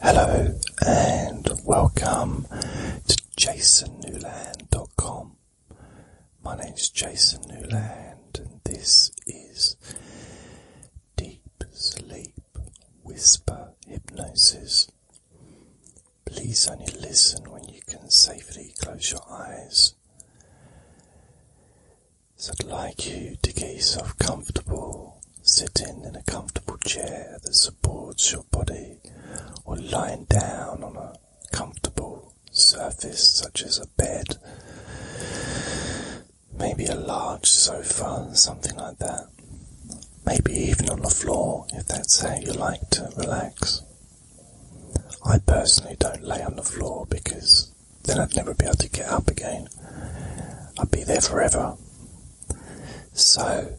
Hello and welcome to jasonnewland.com. My name is Jason Newland and this is Deep Sleep Whisper Hypnosis. Please only listen when you can safely close your eyes. So I'd like you to get yourself comfortable Sitting in a comfortable chair that supports your body, or lying down on a comfortable surface such as a bed, maybe a large sofa, something like that. Maybe even on the floor if that's how you like to relax. I personally don't lay on the floor because then I'd never be able to get up again. I'd be there forever so,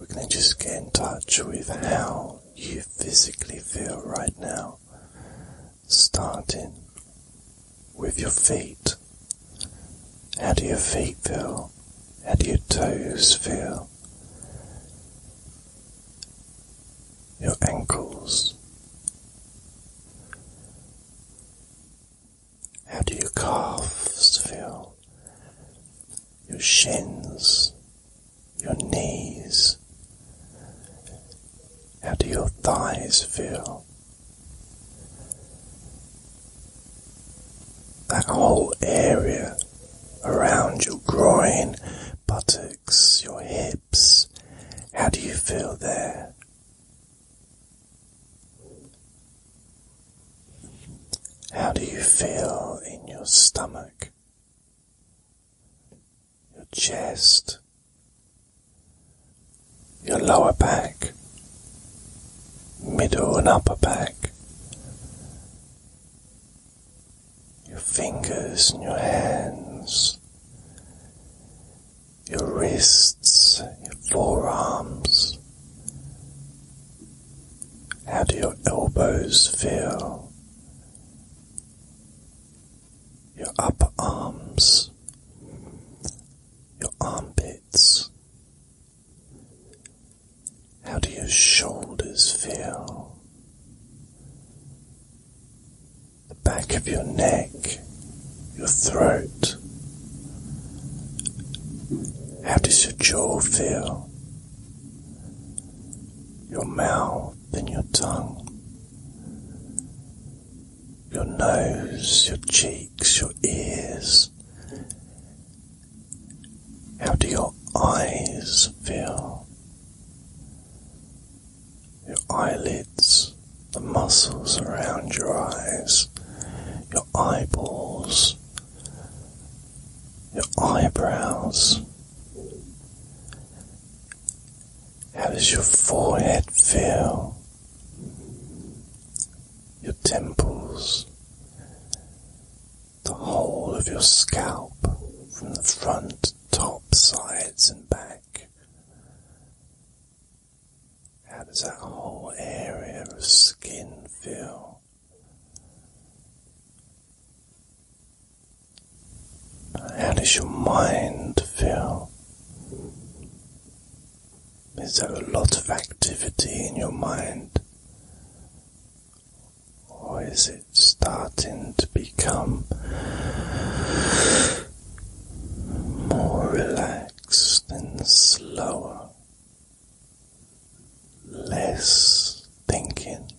we're going to just get in touch with how you physically feel right now, starting with your feet. How do your feet feel? How do your toes feel? Your ankles, how do your calves feel? Your shins, your knees. How do your thighs feel? That whole area around your groin, buttocks, your hips. How do you feel there? How do you feel in your stomach, your chest, your lower back, middle and upper back, your fingers and your hands, your wrists, your forearms. How do your elbows feel? Your upper arms, your armpits. How do your shoulders feel? the back of your neck, your throat. How does your jaw feel? Your mouth and your tongue. Your nose, your cheeks, your ears. How do your eyes feel? your eyelids, the muscles around your eyes, your eyeballs, your eyebrows. How does your forehead feel? Your temples, the whole of your scalp from the front, top, sides, and back back. How does that whole area of skin feel? How does your mind feel? Is there a lot of activity in your mind? Or is it starting to become more relaxed and slower, less thinking,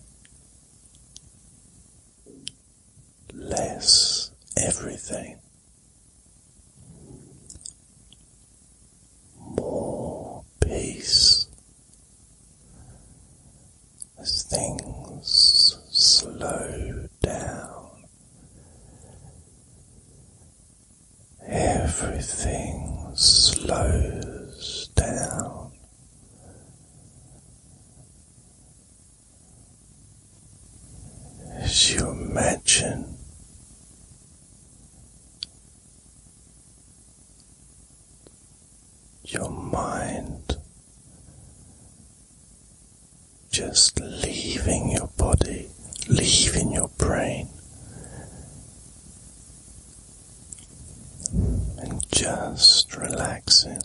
less everything. More peace, as things slow down. Everything slows down. As you imagine your mind just leaving your body, leaving your brain, and just relaxing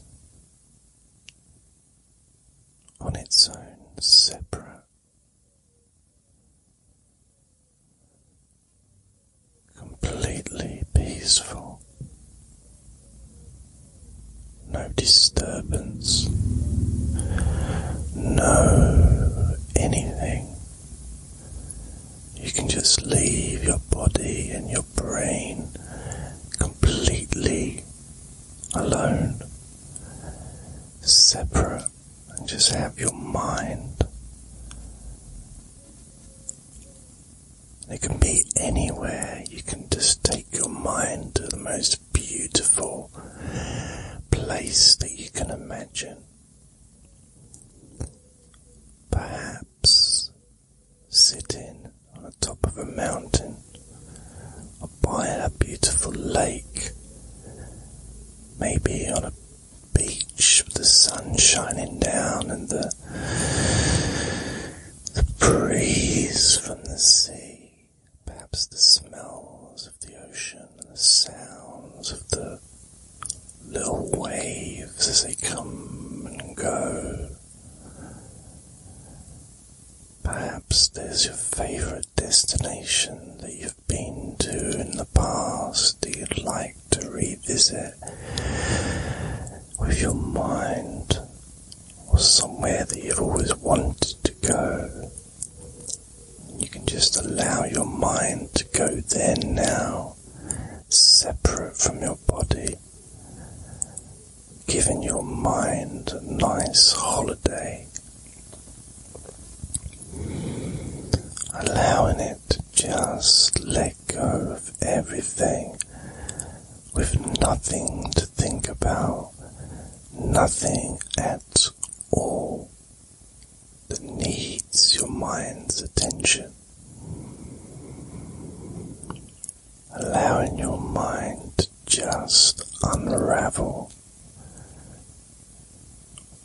on its own, separate. Completely peaceful no disturbance, no anything. You can just leave your body and your brain completely alone, separate, and just have your mind it can be anywhere. You can just take your mind to the most beautiful place that you can imagine. Perhaps sitting on the top of a mountain or by a beautiful lake, maybe on a beach with the sun shining down and the the breeze from the sea, perhaps the smells of the ocean and the sounds of the little waves as they come and go. Perhaps there's your favourite destination that you've been to in the past that you'd like to revisit with your mind or somewhere that you've always wanted to go. You can just allow your mind to go there now, separate from your body, giving your mind a nice holiday. Allowing it to just let go of everything with nothing to think about, nothing at all that needs your mind's attention. Allowing your mind to just unravel,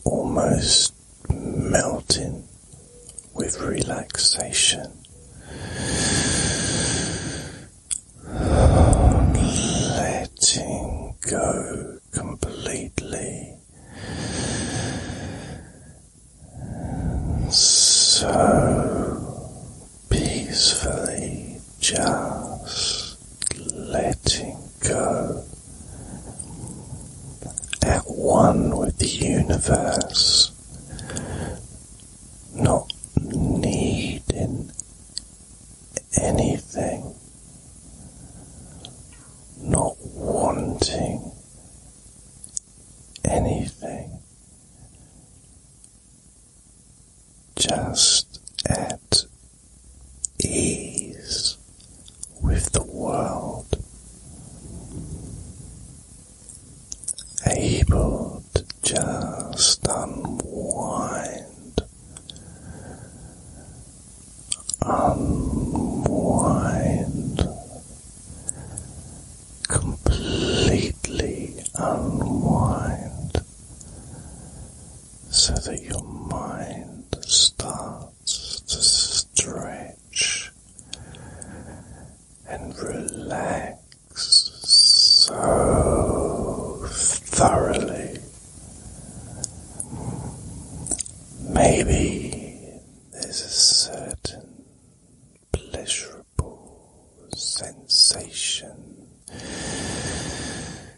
almost melting with relaxation. Letting go completely. so peacefully just letting go at one with the universe not needing anything, not wanting anything, just at ease with the world able to just unwind, unwind, completely unwind, so that your mind starts to stray and relax so thoroughly. Maybe there's a certain pleasurable sensation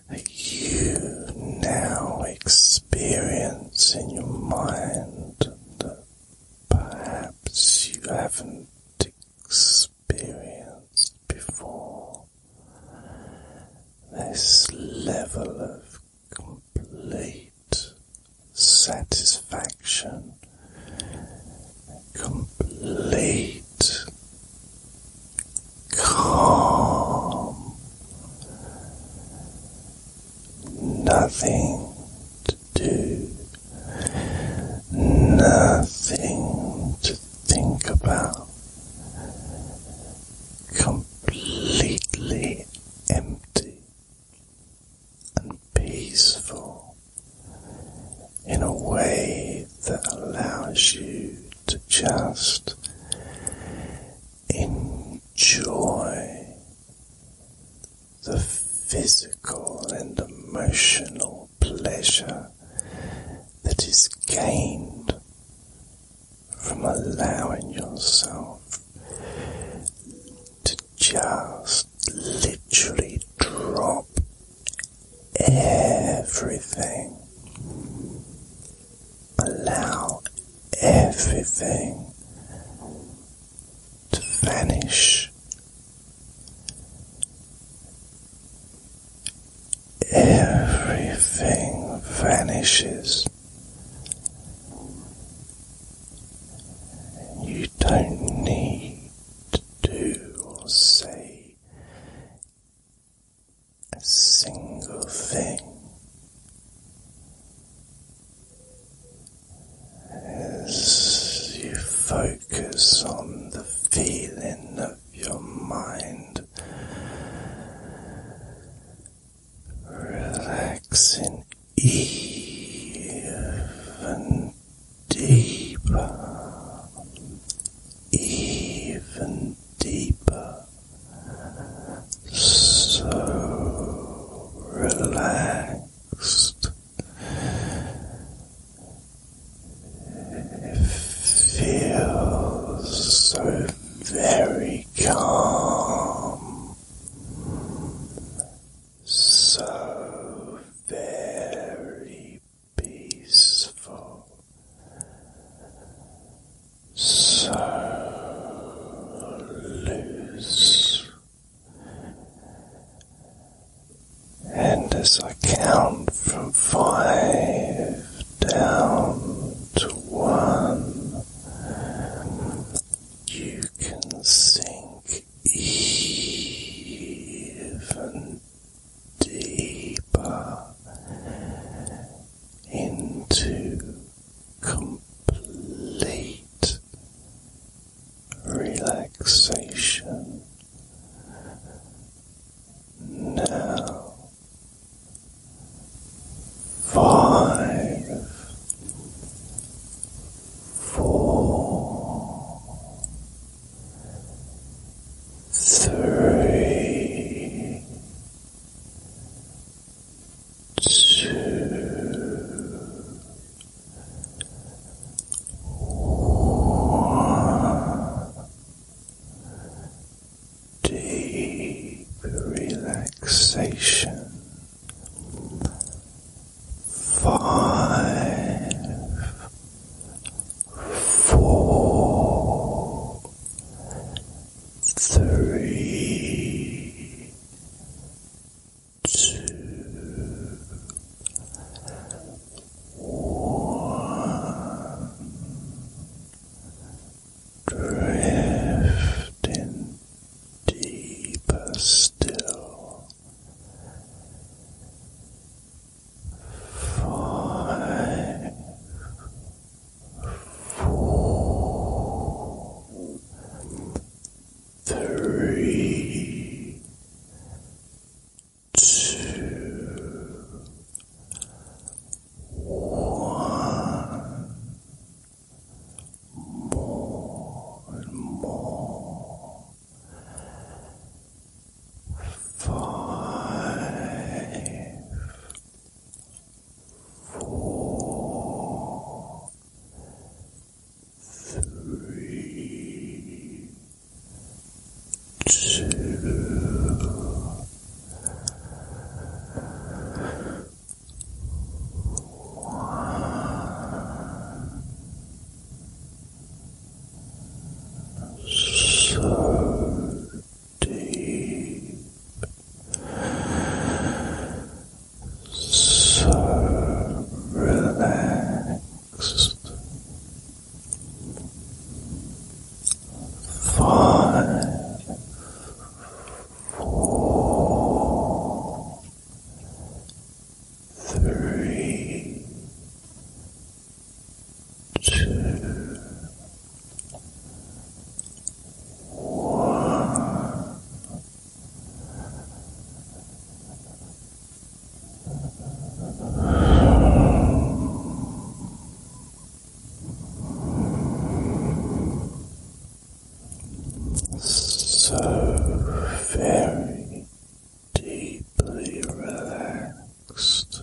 that you now experience in your mind perhaps you haven't experienced before. This level of complete satisfaction, complete calm nothing to do, nothing to think about, completely empty and peaceful in a way that allows you to just Enjoy the physical and emotional pleasure that is gained from allowing yourself to just literally drop everything Allow everything to vanish. Everything vanishes. You don't need to do or say a single thing. As you focus on the feeling of your mind relaxing even deeper, even deeper so relaxed, it feels so very calm, so very peaceful so loose. And as I count from five down to one, you can sink even deeper into complete relaxation. Now, five, four, three, two, Deep relaxation. Five, four, three, two, one, drifting deeper still. Five, four, three, two, one, more more. Five, four, three, two, one. So deep, so relaxed. Five, four, three, two, one. So very deeply relaxed.